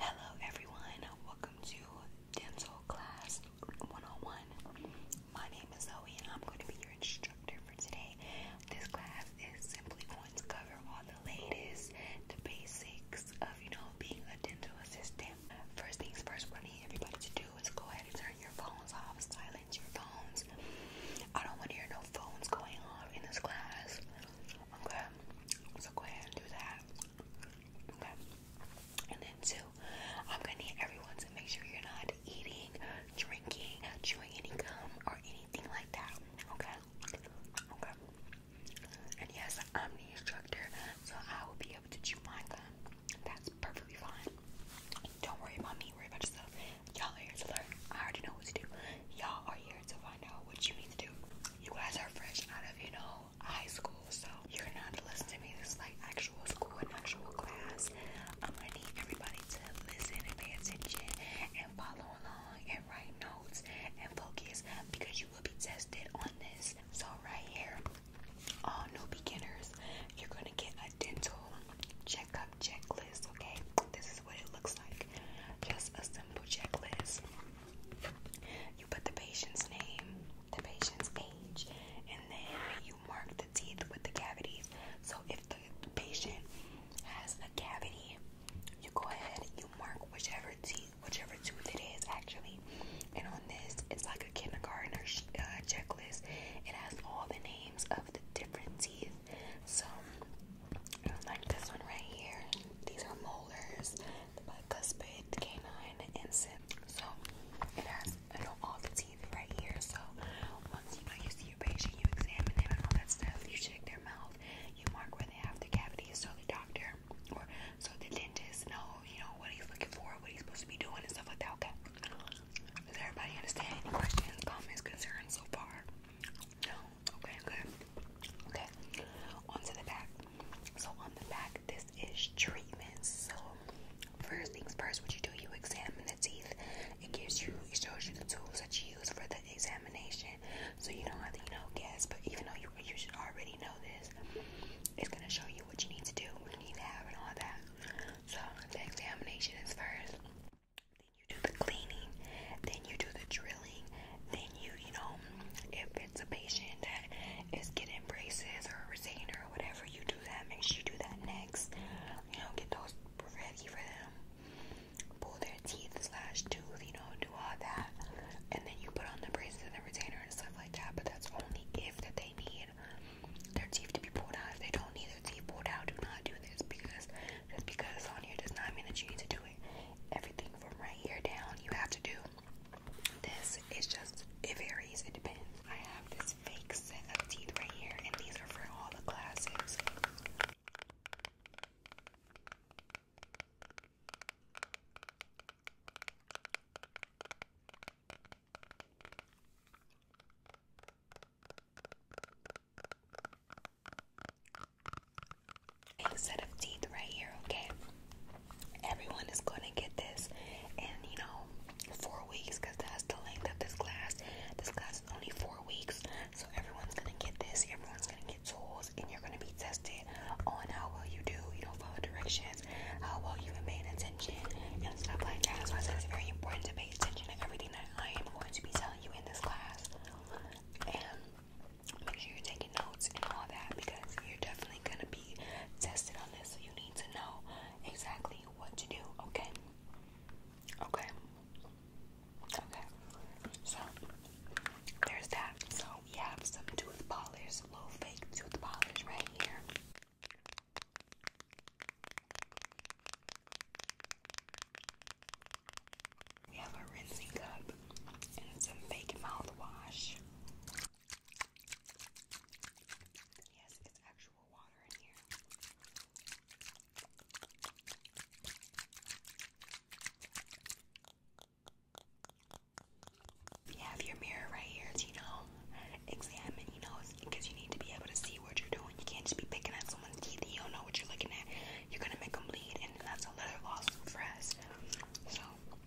Hello everyone, welcome to Dental Class 101. My name is Zoe and I'm going to be your instructor for today. This class is simply going to cover all the latest, the basics of, you know, being a dental assistant. First things first, what I need everybody to do is go ahead and turn your phones off, silence your phones. I don't want to hear no phones going off in this class. so go ahead and do that. Okay. And then two, I'm gonna need everyone to make sure you're not eating, drinking, chewing any gum or anything like that. Okay? Okay. And yes, I'm the instructor, so I will be able to chew my gum. That's perfectly fine. Don't worry about me, worry about yourself. Y'all are here to learn. I already know what to do. Y'all are here to find out what you need to do. You guys are fresh out of, you know, high school, so you're gonna have to listen to me. This is like actual school and actual class. I'm gonna need everybody to listen and pay attention and follow along and write notes and focus because you will be tested on this. So right here, all new beginners, you're gonna get a dental checkup checklist, okay? This is what it looks like. Just a simple checklist. You put the patient's name, the patient's age, and then you mark the teeth with the cavities. So if the patient has a cavity, you go ahead, you mark whichever teeth, whichever tooth it is actually. And on this, it's like a kindergartner uh, checklist. It has all the names of the different teeth. So, like this one right here, these are molars the bicuspid, canine, and So it has you know, all the teeth right here. So once you know you see your patient, you examine them and all that stuff. You check their mouth. You mark where they have the cavities, so the doctor or so the dentist know you know what he's looking for, what he's supposed to be doing, and stuff like that. Okay. Does everybody understand? Any questions, comments, concerns so far? No. Okay. Good. Okay. On the back. So on the back, this is treatment. So first things first, what you do, you examine the teeth. It gives you, it shows you the tools that you use for the examination. So you don't have to, you know, guess. But even though you you should already know this, it's gonna show you what you need to do, what you need to have, and all that. So the examination is first. Then you do the cleaning. Then you do the drilling. Then you, you know, if it's a patient that is getting braces or a retainer or whatever, you do that. Make sure you do that next. You know, get those ready for them. Pull their teeth, slash tooth, you know, do all that. And then you put on the braces and the retainer and stuff like that. But that's only if that they need their teeth to be pulled out. If they don't need their teeth pulled out, do not do this because just because on here does not mean that you need to do it. Everything from right here down you have to do. This is just, it varies, it depends. I have this fake set of teeth right here, and these are for all the classes a set of teeth right here, okay? Everyone is gonna get this in, you know, four weeks because that's the length of this class. This class is only four weeks, so everyone's gonna get this, everyone's gonna get tools, and you're gonna be tested on how well you do, you don't follow directions, how well you've been paying attention, and stuff like that. So I it's very important to pay attention to everything that I am going to be telling you in this class. And make sure you're taking notes and all that because you're definitely gonna be tested on this, so you need to know exactly what to do, okay? Okay. Okay. So there's that. So we have some tooth polish, little fake tooth polish right here. We have a rinsing cup and some fake mouthwash. it's You have your mirror right here to, examine, you know, because you need to be able to see what you're doing. You can't just be picking at someone's teeth. You don't know what you're looking at. You're going to make them bleed, and that's a little lawsuit for us. So,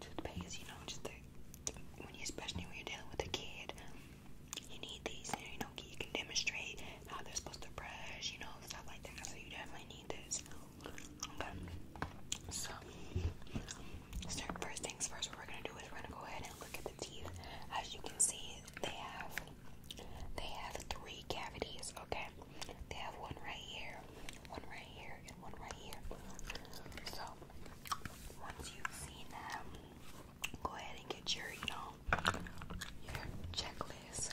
toothpaste, you know, just when you, especially when you're dealing with a kid, you need these, you know, you can demonstrate how they're supposed to brush, you know, stuff like that, so you definitely need this. Okay, so first things first, what we're gonna do is we're gonna go ahead and look at the teeth. As you can see, they have, they have three cavities, okay? They have one right here, one right here, one right here. So once you've seen that, go ahead and get your, you know, checklist.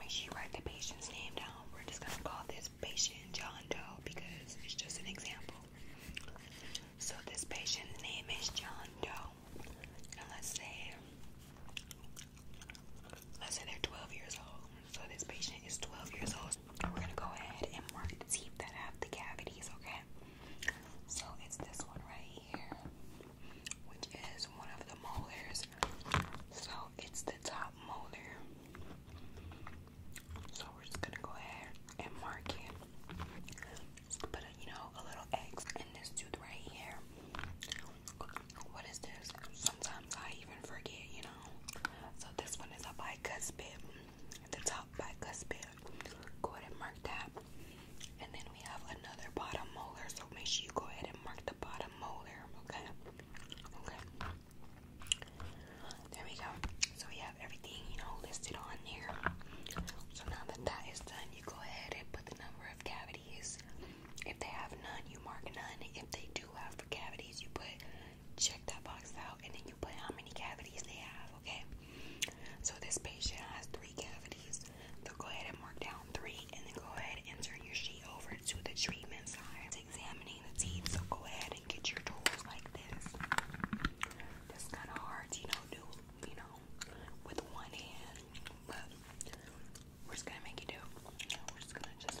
Make sure you write the patient's name down. We're just gonna call this patient John Doe because it's just an example. So this patient's name is John Doe. And let's say let's say they're 12 years old. So this patient is 12 years old. We're gonna go ahead and mark the teeth that have the cavities, okay? So it's this one right here, which is one of the molars. So it's the top molar. So we're just gonna go ahead and mark it. put a, you know, a little X in this tooth right here. What is this? Sometimes I even forget, you know. So this one is a bicuspid, the top bicuspid. Go ahead and mark that. And then we have another bottom molar, so make sure you go ahead and mark the bottom molar, okay? Okay. There we go. So we have everything, you know, listed on there. So now that that is done, you go ahead and put the number of cavities. If they have none, you mark none. If they do have cavities, you put check that box out and then you put how many cavities they have, okay? So this patient has three cavities. So go ahead and mark down three and then go ahead and turn your sheet over to the treatment side. It's examining the teeth, so go ahead and get your tools like this. That's kind of hard you know, do, you know, with one hand, but we're just gonna make it do. We're just gonna just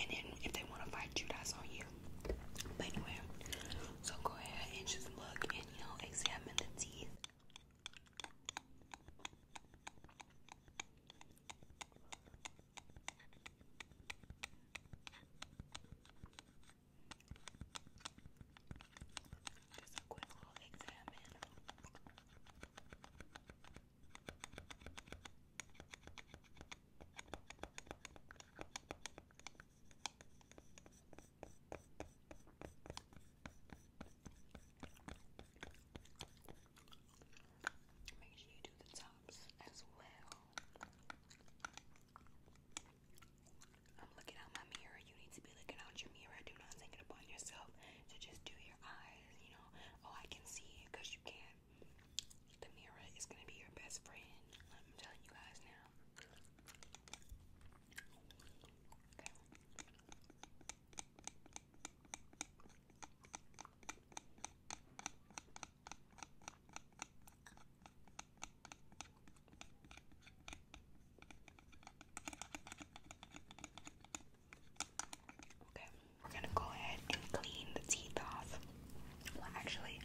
and then if they want to fight you, on you. But anyway, so go ahead and just look and you know examine the teeth. Just a quick little examine. Make sure you do the tops as well. I'm looking out my mirror. You need to be looking out your mirror. Do not take it upon yourself to just do your eyes. You know, oh, I can see because you can. The is gonna be your best friend. I'm telling you guys now. Okay, we're gonna go ahead and clean the teeth off. Well, actually,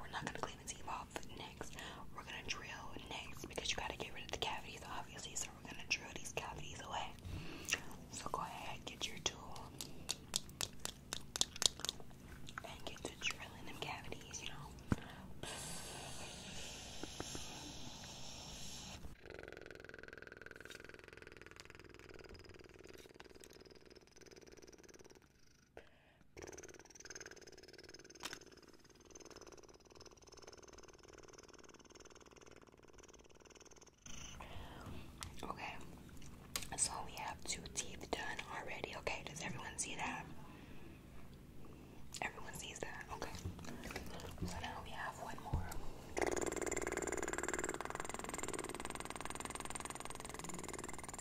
we're not gonna clean the teeth off next. We're gonna drill next because you gotta get rid of the cavities, obviously. So we're gonna drill these cavities away. So go ahead, get your tool and get to drilling them cavities. You know. Okay, so we have two teeth done already. Okay, does everyone see that? Everyone sees that. Okay, so now we have one more. Okay,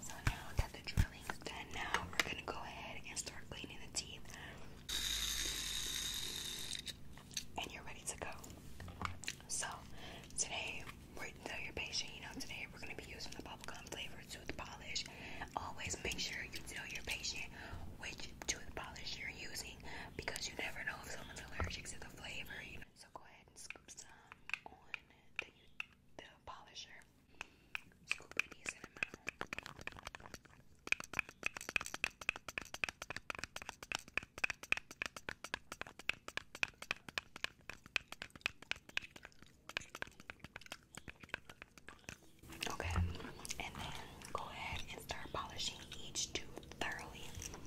so now that the drilling's done, now we're gonna go ahead and start cleaning the teeth. And you're ready to go. So, today we're and tell your patient, you know, today we're going to be using the bubblegum flavored tooth polish. Always make sure you tell your patient which tooth polish you're using because you never know if someone's allergic to the flavor, you know. So go ahead and scoop some on the, the polisher. Scoop a decent amount. Okay, and then go ahead and start polishing each tooth thoroughly. Okay,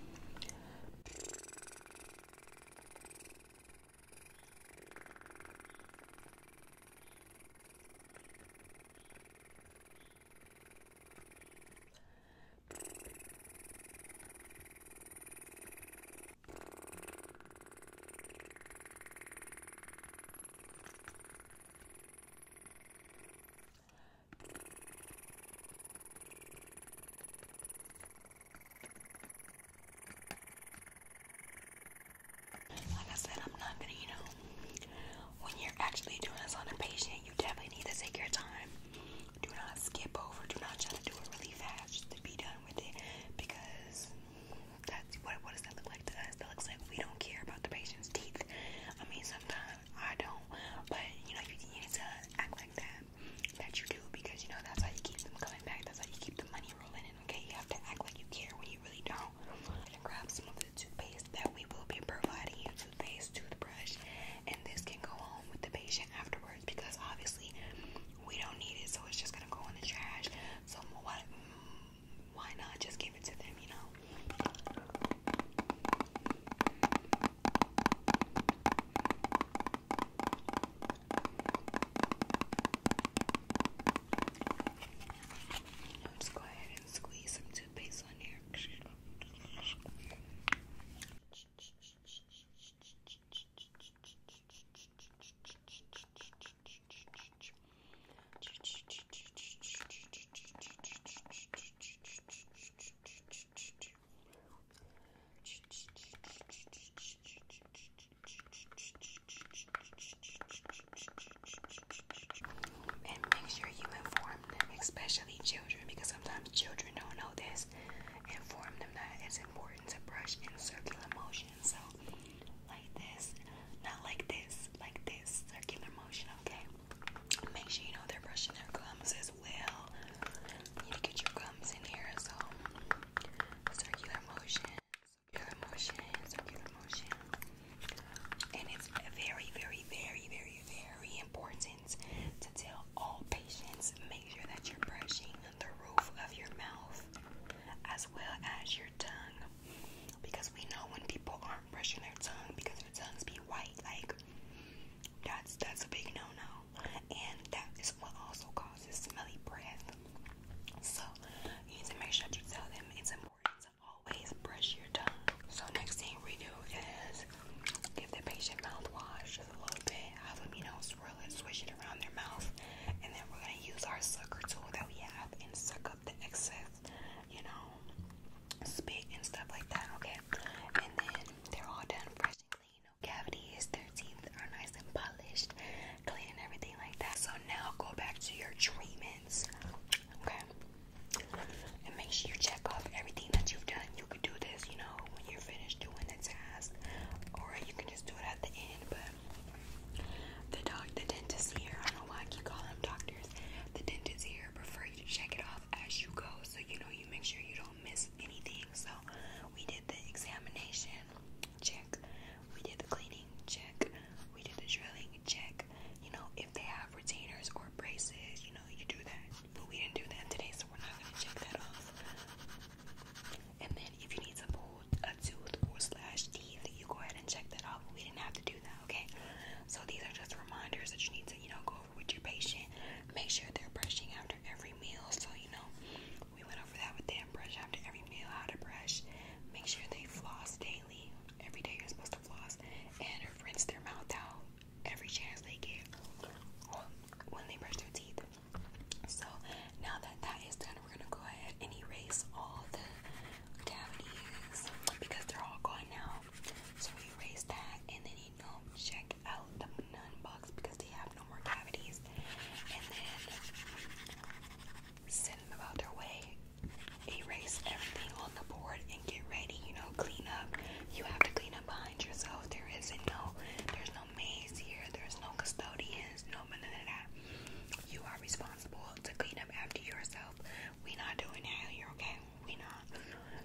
like I said, I'm not gonna, you know, when you're actually doing this on a patient, you definitely need to take your time. Do not skip over, do not try to do it really fast to be done with it because that's what what does that look like to us? That looks like we don't care about the patient's teeth. I mean sometimes I don't, but you know you, you need to act like that that you do because you know that's how you keep them coming back. That's how you keep the money rolling And Okay, you have to act like you care when you really don't. And grab some of the toothpaste that we will be providing you toothpaste, toothbrush, and this can go home with the patient afterwards because obviously we don't need it, so it's just gonna go in the trash. So why, why not just give it to them, you know? just go ahead and squeeze some toothpaste on here. And make sure you inform them, especially children, because sometimes children don't know this. Inform them that it's important to brush in circular motion so like this, not like this, like this circular motion. Okay. Make sure you know they're brushing their gums as well. You need to get your gums in here. So circular motion, circular motion, circular motion. And it's very, very, very, very, very important to tell all patients make sure that you're brushing the roof of your mouth as well as your tongue because we know when people aren't brushing their tongue because their tongues be white like that's that's a big no-no and that is what also causes smelly breath so you need to make sure that you tell them it's important to always brush your tongue so next thing we do is give the patient mouthwash just a little bit half a you know, and swish it around their mouth. And then we're gonna use our sucker tool that we have and suck up the excess, you know, spit and stuff like that, okay? And then they're all done fresh and clean. No cavities, their teeth are nice and polished, clean and everything like that. So now go back to your treatments, okay? And make sure you check off everything that you've done. You can do this, you know, when you're finished doing the task, or you can just do it at the end, but the doc, the dentist here, I don't know why I keep them doctors. The dentist here prefer you to check it off as you go, so you know you make sure you don't miss anything. So we did the examination, check. We did the cleaning, check. We did the drilling, check. You know if they have retainers or braces, you know you do that. But we didn't do that today, so we're not gonna check that off. And then if you need to pull a tooth or slash teeth, you go ahead and check that off. We didn't have to do that, okay? So these are just reminders that you need to, you know, go over with your patient. Make sure they're brushing after every meal. So, you know, we went over that with them. Brush after every meal, how to brush. Make sure they floss daily. Every day you're supposed to floss. And rinse their mouth out every chance they get when they brush their teeth. So now that that is done, we're gonna go ahead and erase all the cavities because they're all gone now. So we erase that and then you know check out the nun box because they have no more cavities. And then send them about their way. Erase everything on the board and get ready, you know, clean up. You have to clean up behind yourself. There isn't no there's no maze here, there's no custodians, no none of that. You responsible to clean up after yourself. We're not doing that here, okay? We not.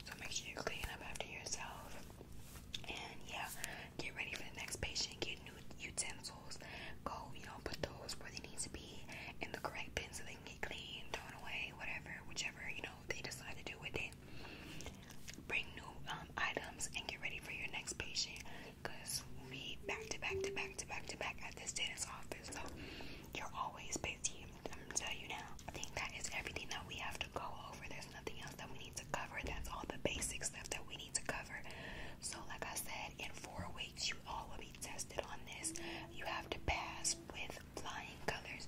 So make sure you clean up after yourself. And yeah, get ready for the next patient. Get new utensils. Go, you know, put those where they need to be in the correct bin so they can get clean, thrown away, whatever, whichever, you know, they decide to do with it. Bring new um, items and get ready for your next patient because we back to back to back to back to back at this dentist office. So you're always busy. I'm gonna tell you now. I think that is everything that we have to go over. There's nothing else that we need to cover. That's all the basic stuff that we need to cover. So like I said, in four weeks you all will be tested on this. You have to pass with flying colors.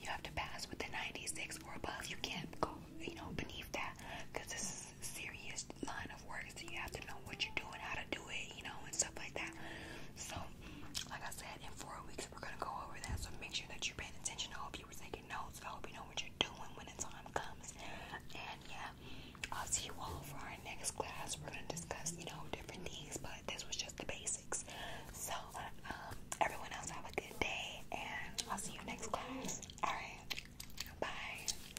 You have to pass with the 96 or above. You can't go, you know, beneath that because this is serious line of work, so you have to know what you're doing, how to do it, you know, and stuff like that. So, like I said, in four weeks we're gonna go over that. So make sure that you're paying attention. I hope you were taking notes. I hope you know what you're doing when the time comes. And yeah, I'll see you all for our next class. We're gonna discuss, you know, different things, but this was just the basics. So, um, everyone else have a good day, and I'll see you next class. All right, bye.